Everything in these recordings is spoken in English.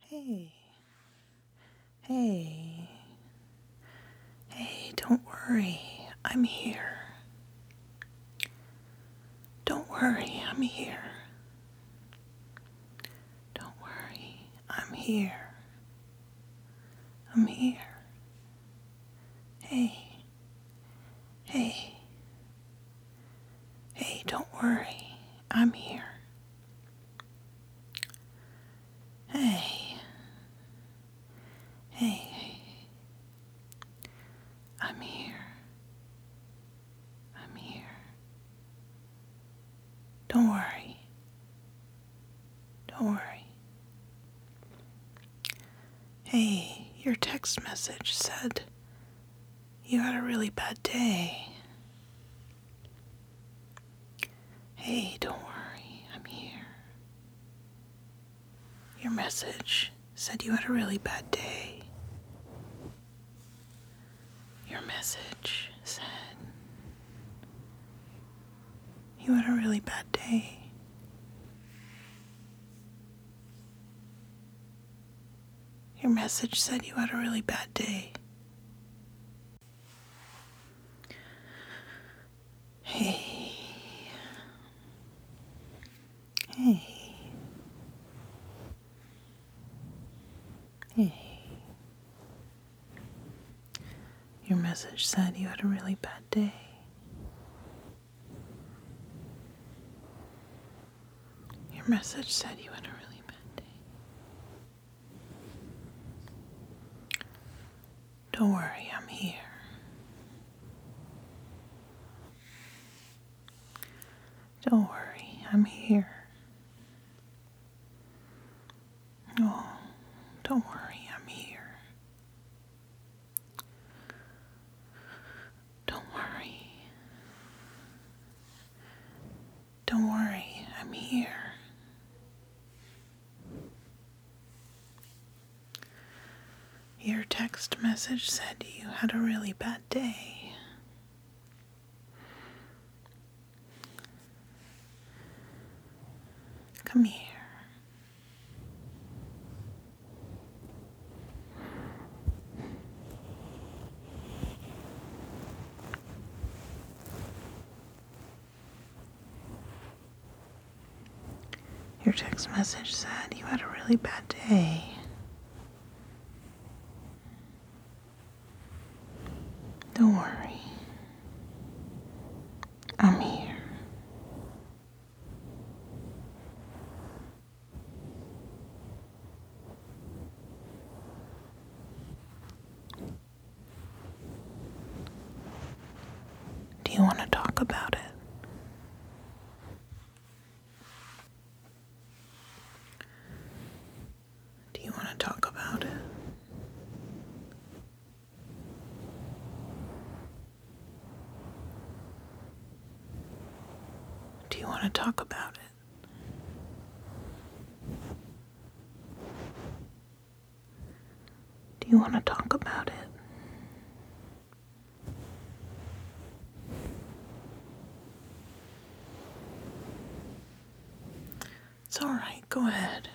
Hey, hey, hey, don't worry, I'm here. Don't worry, I'm here. Don't worry, I'm here. I'm here. Hey, hey, Hey, don't worry, I'm here. Hey, hey, I'm here. I'm here. Don't worry. Don't worry. Hey, your text message said you had a really bad day. Hey, don't worry, I'm here. Your message said you had a really bad day. Your message said you had a really bad day. Your message said you had a really bad day. Hey. Hey. Hey. Your message said you had a really bad day. Your message said you had a really bad day. Don't worry, I'm here. Don't worry, I'm here. Oh, don't worry, I'm here. Don't worry. Don't worry, I'm here. Your text message said you had a really bad day. Come here. Your text message said you had a really bad day. Don't worry. I'm here. Do you want to talk about it? Do you want to talk about it? Do you want to talk about it? Do you want to talk about it? It's alright, go ahead.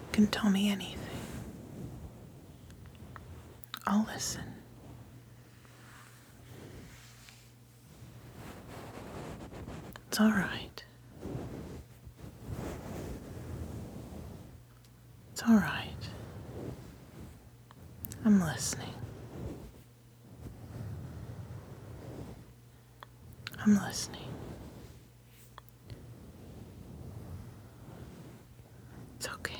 You can tell me anything. I'll listen. It's all right. It's all right. I'm listening. I'm listening. It's okay.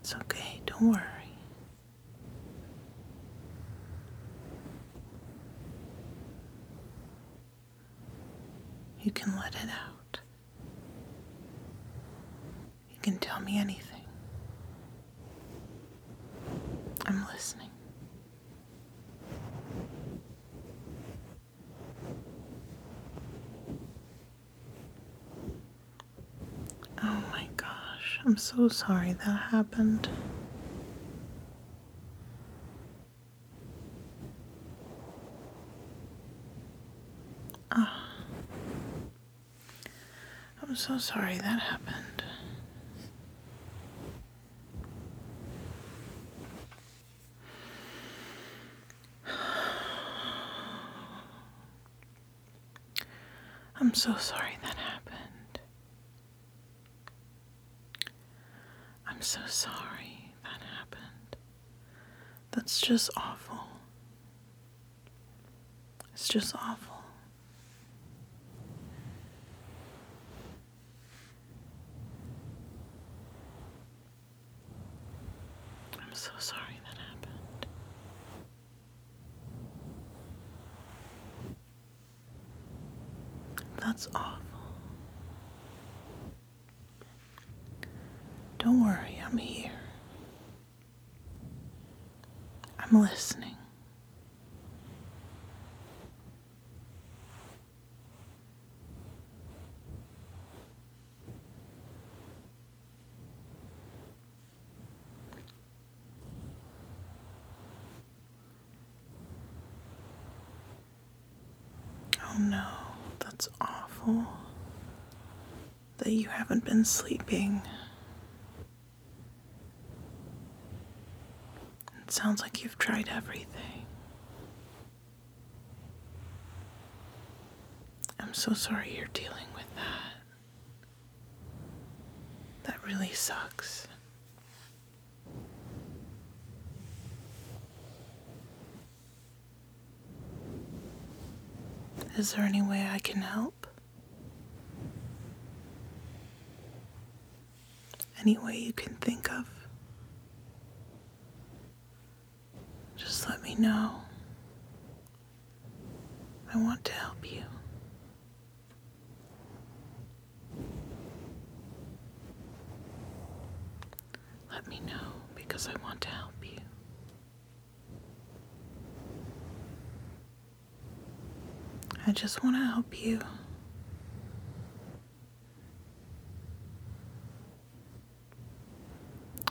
It's okay, don't worry. You can let it out. You can tell me anything. I'm listening. Oh my gosh, I'm so sorry that happened. Ah. I'm so sorry that happened. I'm so sorry that happened. I'm so sorry that happened. That's just awful. It's just awful. I'm so sorry that happened. That's awful. Don't worry, I'm here. I'm listening. Oh no, that's awful that you haven't been sleeping. It sounds like you've tried everything. I'm so sorry you're dealing with that. That really sucks. Is there any way I can help? Any way you can think of. Just let me know. I want to help you. Let me know because I want to help you. I just want to help you.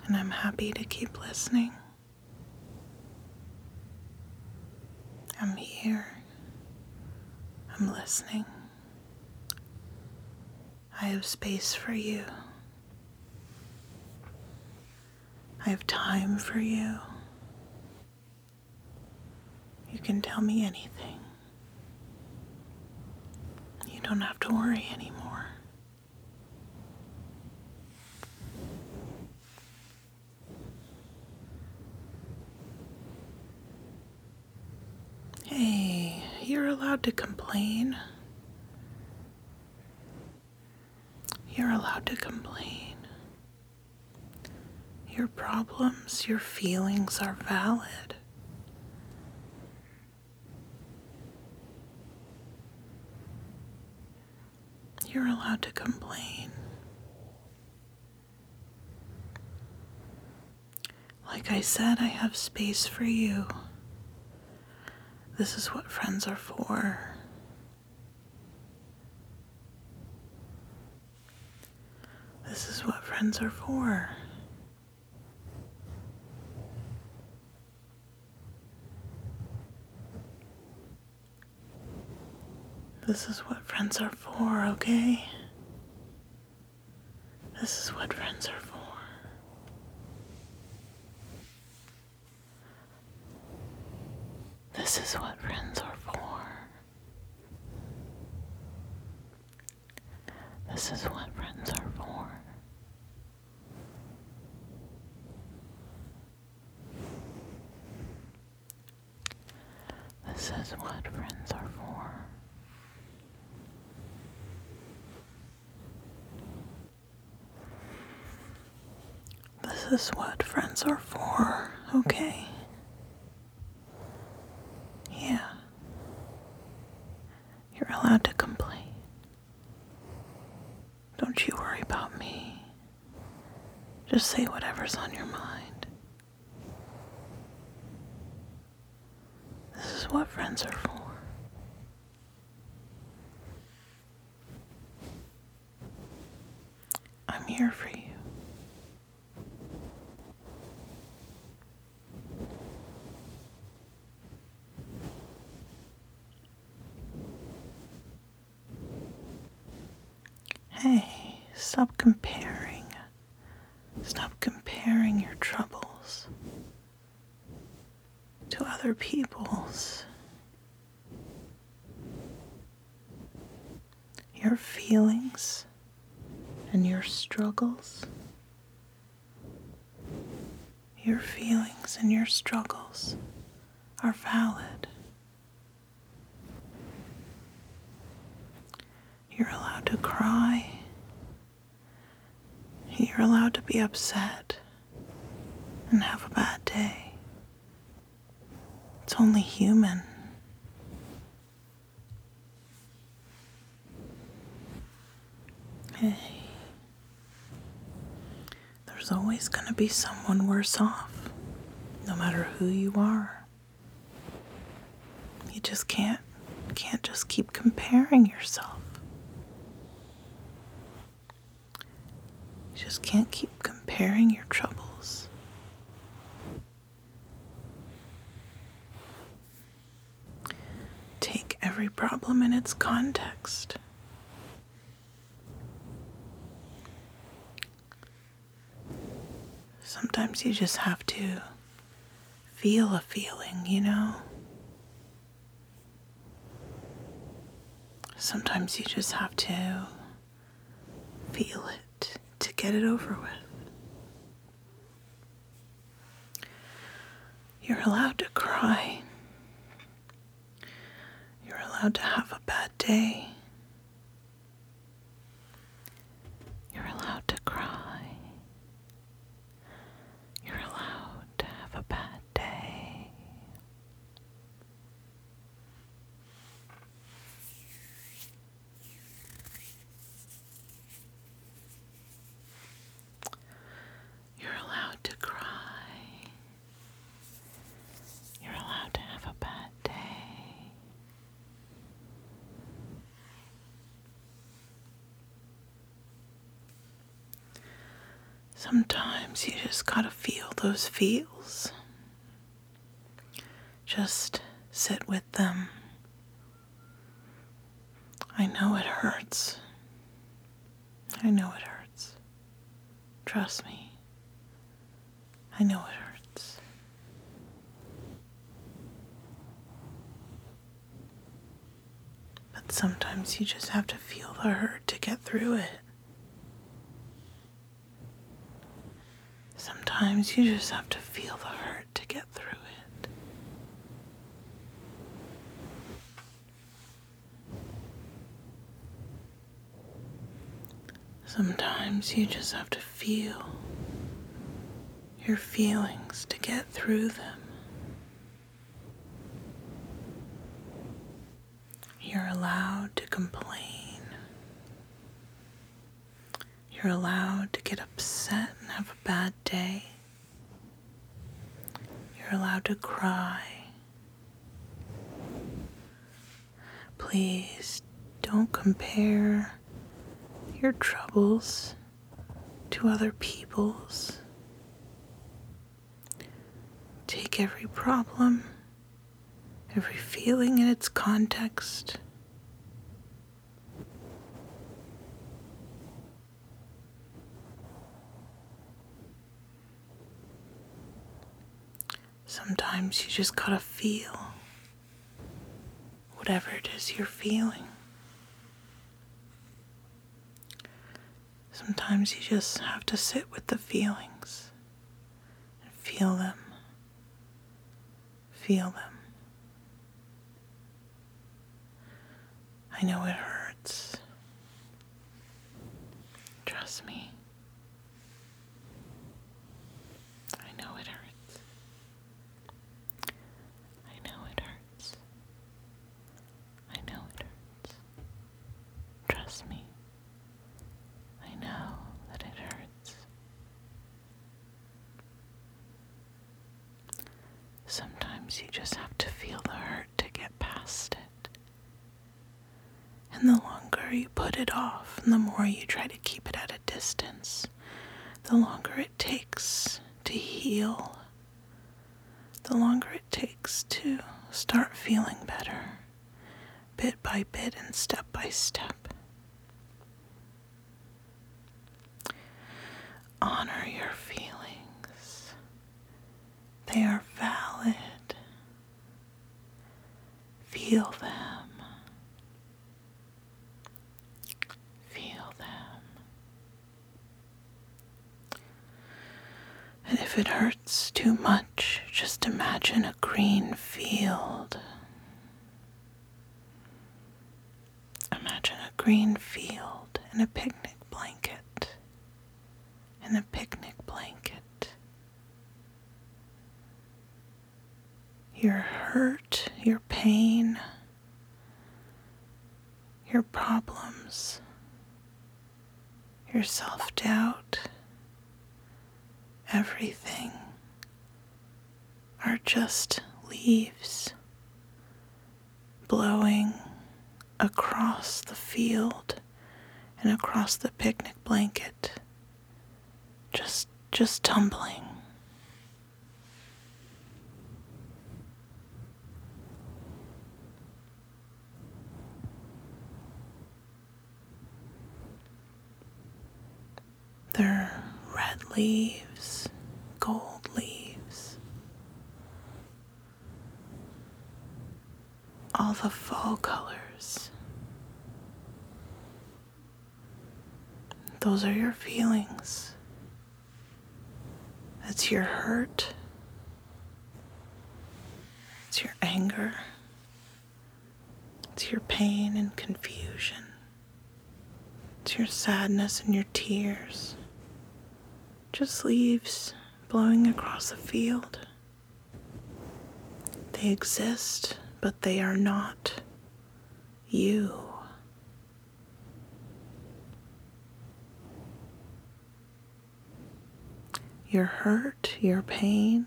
And I'm happy to keep listening. I'm here. I'm listening. I have space for you. I have time for you. You can tell me anything. You don't have to worry anymore. Hey, you're allowed to complain. You're allowed to complain. Your problems, your feelings are valid. You're allowed to complain. Like I said, I have space for you. This is what friends are for. This is what friends are for. This is what friends are for, okay? This is what friends are for. This is what friends are for. This is what friends are for. This is what friends are for. This is what friends are for, okay? Yeah. You're allowed to complain. Don't you worry about me. Just say whatever's on your mind. This is what friends are for. I'm here for you. Hey, stop comparing. Stop comparing your troubles to other people's your feelings and your struggles. Your feelings and your struggles are valid. You're allowed to cry. You're allowed to be upset and have a bad day. It's only human. Hey, there's always going to be someone worse off, no matter who you are. You just can't can't just keep comparing yourself. You just can't keep comparing your troubles. Take every problem in its context. Sometimes you just have to feel a feeling, you know? Sometimes you just have to feel it to get it over with. You're allowed to cry. You're allowed to have a bad day. You're allowed to cry. You're allowed to have a bad day. You're allowed to cry. You're allowed to have a bad day. Sometimes you just gotta feel those feels. Just sit with them. I know it hurts. I know it hurts. Trust me. I know it hurts. But sometimes you just have to feel the hurt to get through it. Sometimes you just have to feel the hurt to get through it. Sometimes you just have to feel your feelings to get through them. You're allowed to complain. You're allowed to get upset and have a bad day. You're allowed to cry. Please don't compare your troubles to other people's. Take every problem, every feeling in its context. Sometimes you just gotta feel whatever it is you're feeling. Sometimes you just have to sit with the feelings and feel them. Feel them. I know it hurts. Trust me. I know it hurts. I know it hurts. I know it hurts. Trust me. I know that it hurts. Sometimes you just have to feel the hurt to get past it. And the longer you put it off, and the more you try to keep it at a distance, the longer it takes to heal the longer it takes to start feeling better, bit by bit and step by step. Honor your feelings, they are valid. Feel them. Feel them. And if it hurts too much, just imagine a green field. Imagine a green field and a picnic blanket. And a picnic blanket. Your hurt, your pain, your problems your self doubt, everything are just leaves blowing across the field and across the picnic blanket just just tumbling they're red leaves, gold leaves. All the fall colors. Those are your feelings it's your hurt. It's your anger. It's your pain and confusion. It's your sadness and your tears. Just leaves blowing across a field. They exist, but they are not you. Your hurt, your pain,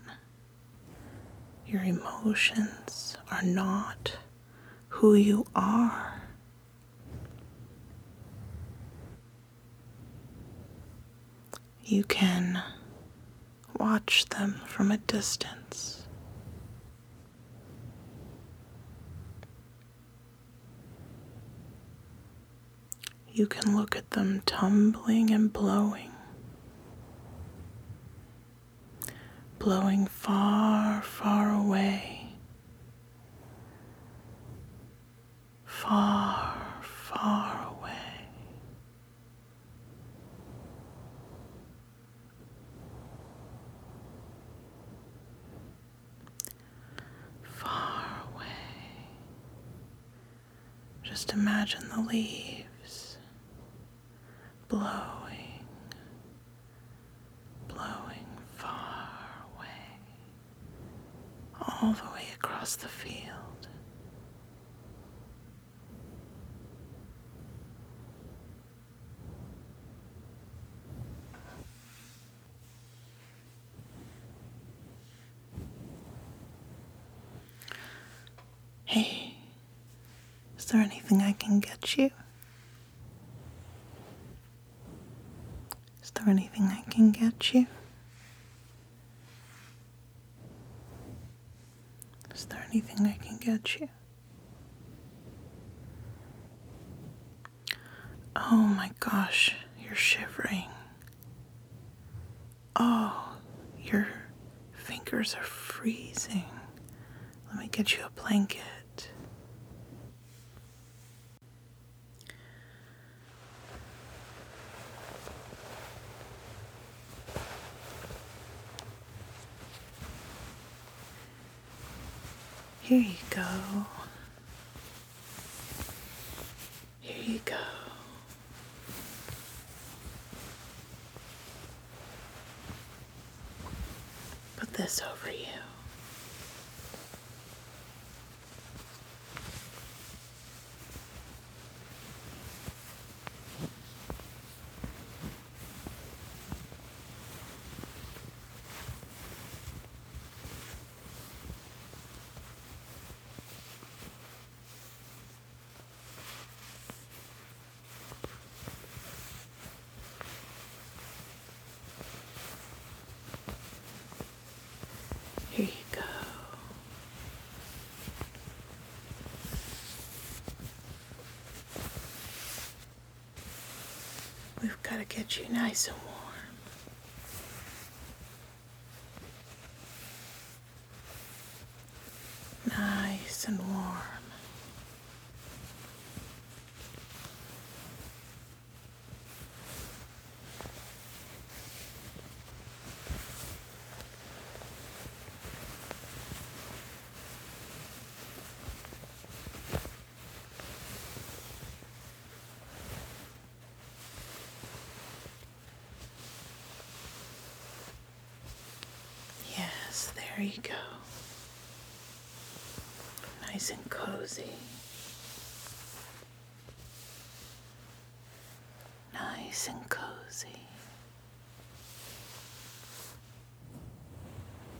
your emotions are not who you are. You can watch them from a distance. You can look at them tumbling and blowing, blowing far, far away, far, far away far away. Just imagine the leaves blowing, blowing far away, all the way across the field. Hey, is there anything I can get you? Is there anything I can get you? Is there anything I can get you? Oh my gosh, you're shivering. Oh, your fingers are freezing. Let me get you a blanket. Here you go. Here you go. Put this over you. Here you go. We've got to get you nice and warm. Nice and warm. Yes, there you go. Nice and cozy. Nice and cozy.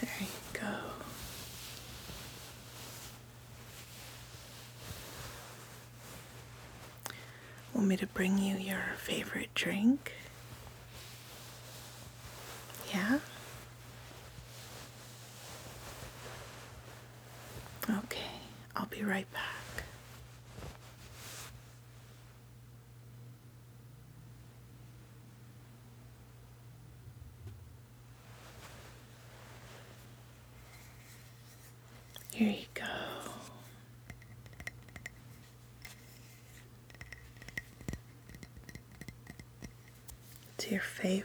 There you go. Want me to bring you your favorite drink? Yeah? Okay, I'll be right back. Here you go. To your favorite.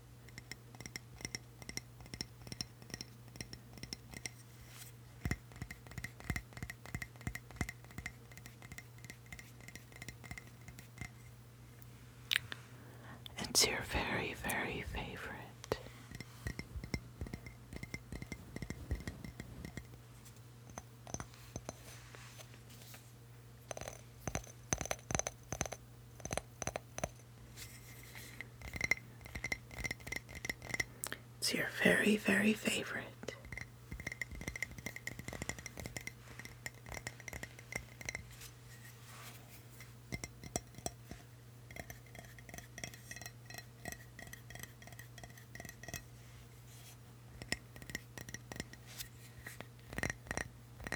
It's your very, very favorite. It's your very, very favorite.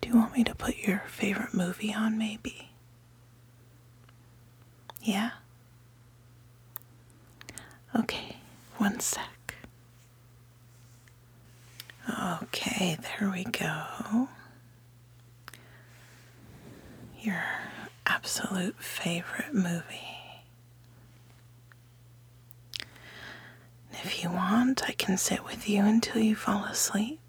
Do you want me to put your favorite movie on, maybe? Yeah? Okay, one sec. Okay, there we go. Your absolute favorite movie. And if you want, I can sit with you until you fall asleep.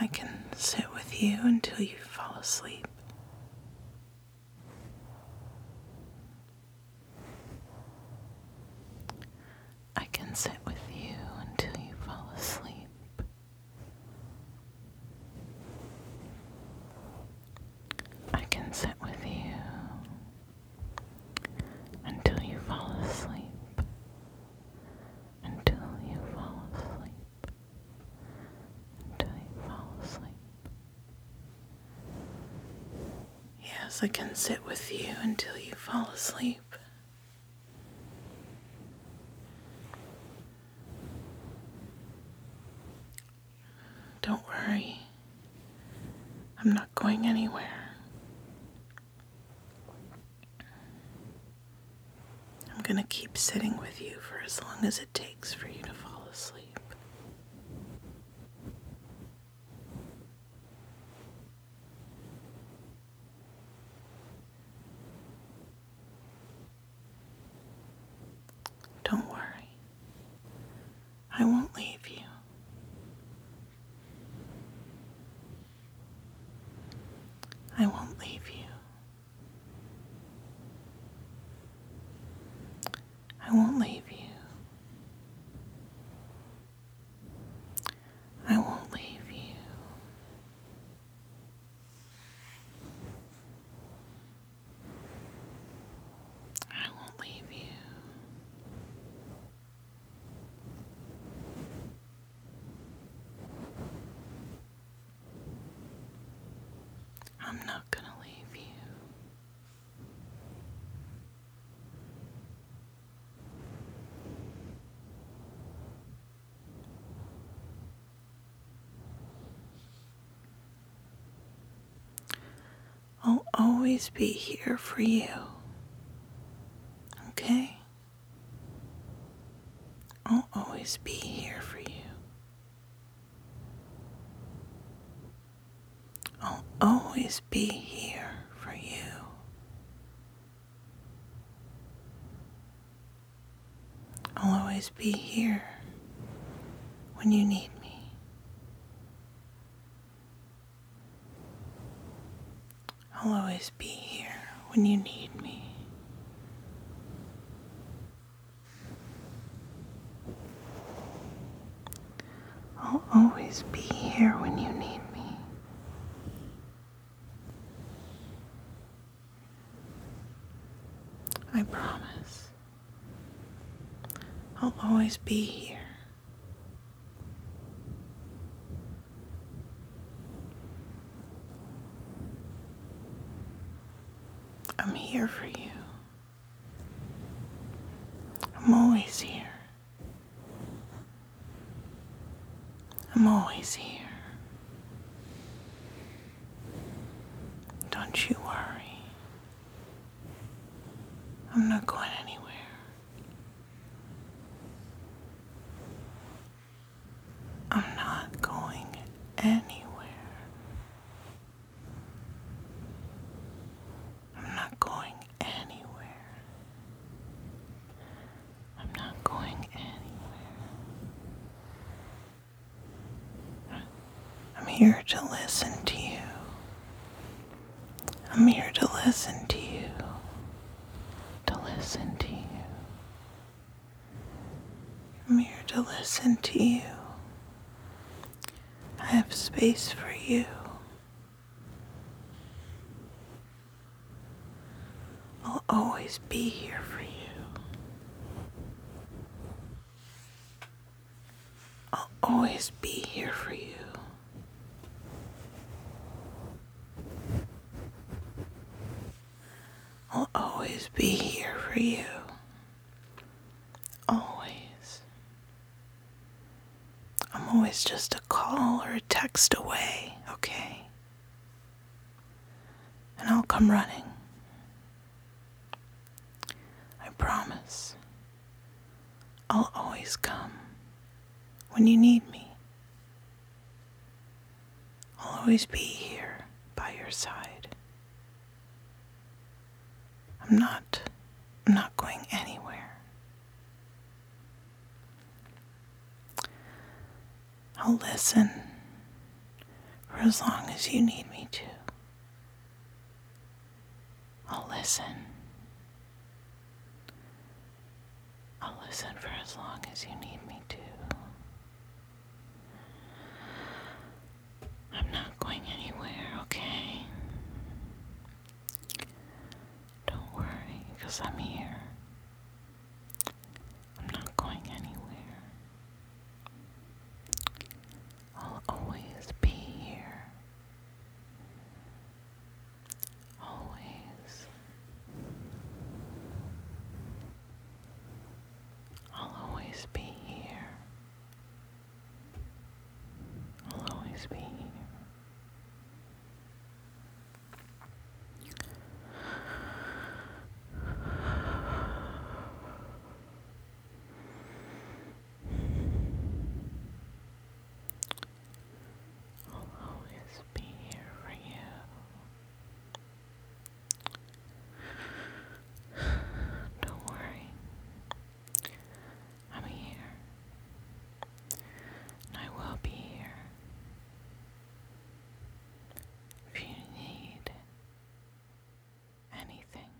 I can sit with you until you fall asleep. I can sit with you until you fall asleep. I can sit with you until you fall asleep. Until you fall asleep until you fall asleep. Yes, I can sit with you until you fall asleep. Don't worry, I'm not going anywhere. I'm going to keep sitting with you for as long as it takes for you to fall asleep. Don't worry, I won't leave you. I won't leave you. I won't leave you. I won't leave you. I won't leave you. I'm not going to leave you. I'll always be here for you. Okay? I'll always be here for you. I'll always be here for you. I'll always be here when you need me. I'll always be here when you need me. I'll always be here when you need me. I promise. I'll always be here. I'm here for you. I'm always here. I'm always here. Don't you worry. I'm not going anywhere. I'm not going anywhere. I'm not going anywhere. I'm not going anywhere. I'm here to listen to you. I'm here to listen to you to listen to you. I'm here to listen to you. I have space for you. I'll always be here for you. I'll always be here for you. I'll always be here for you. Always. I'm always just a call or a text away, okay? And I'll come running. I promise. I'll always come when you need me. I'll always be here by your side. I'm not I'm not going anywhere. I'll listen for as long as you need me to. I'll listen. I'll listen for as long as you need me to. I'm not going anywhere, okay? Don't worry, because I'm here. I'm not going anywhere. I'll always be here. Always. I'll always be here. I'll always be here. I'll always be here for you. Don't worry. I'm here. I will be here. If you need anything.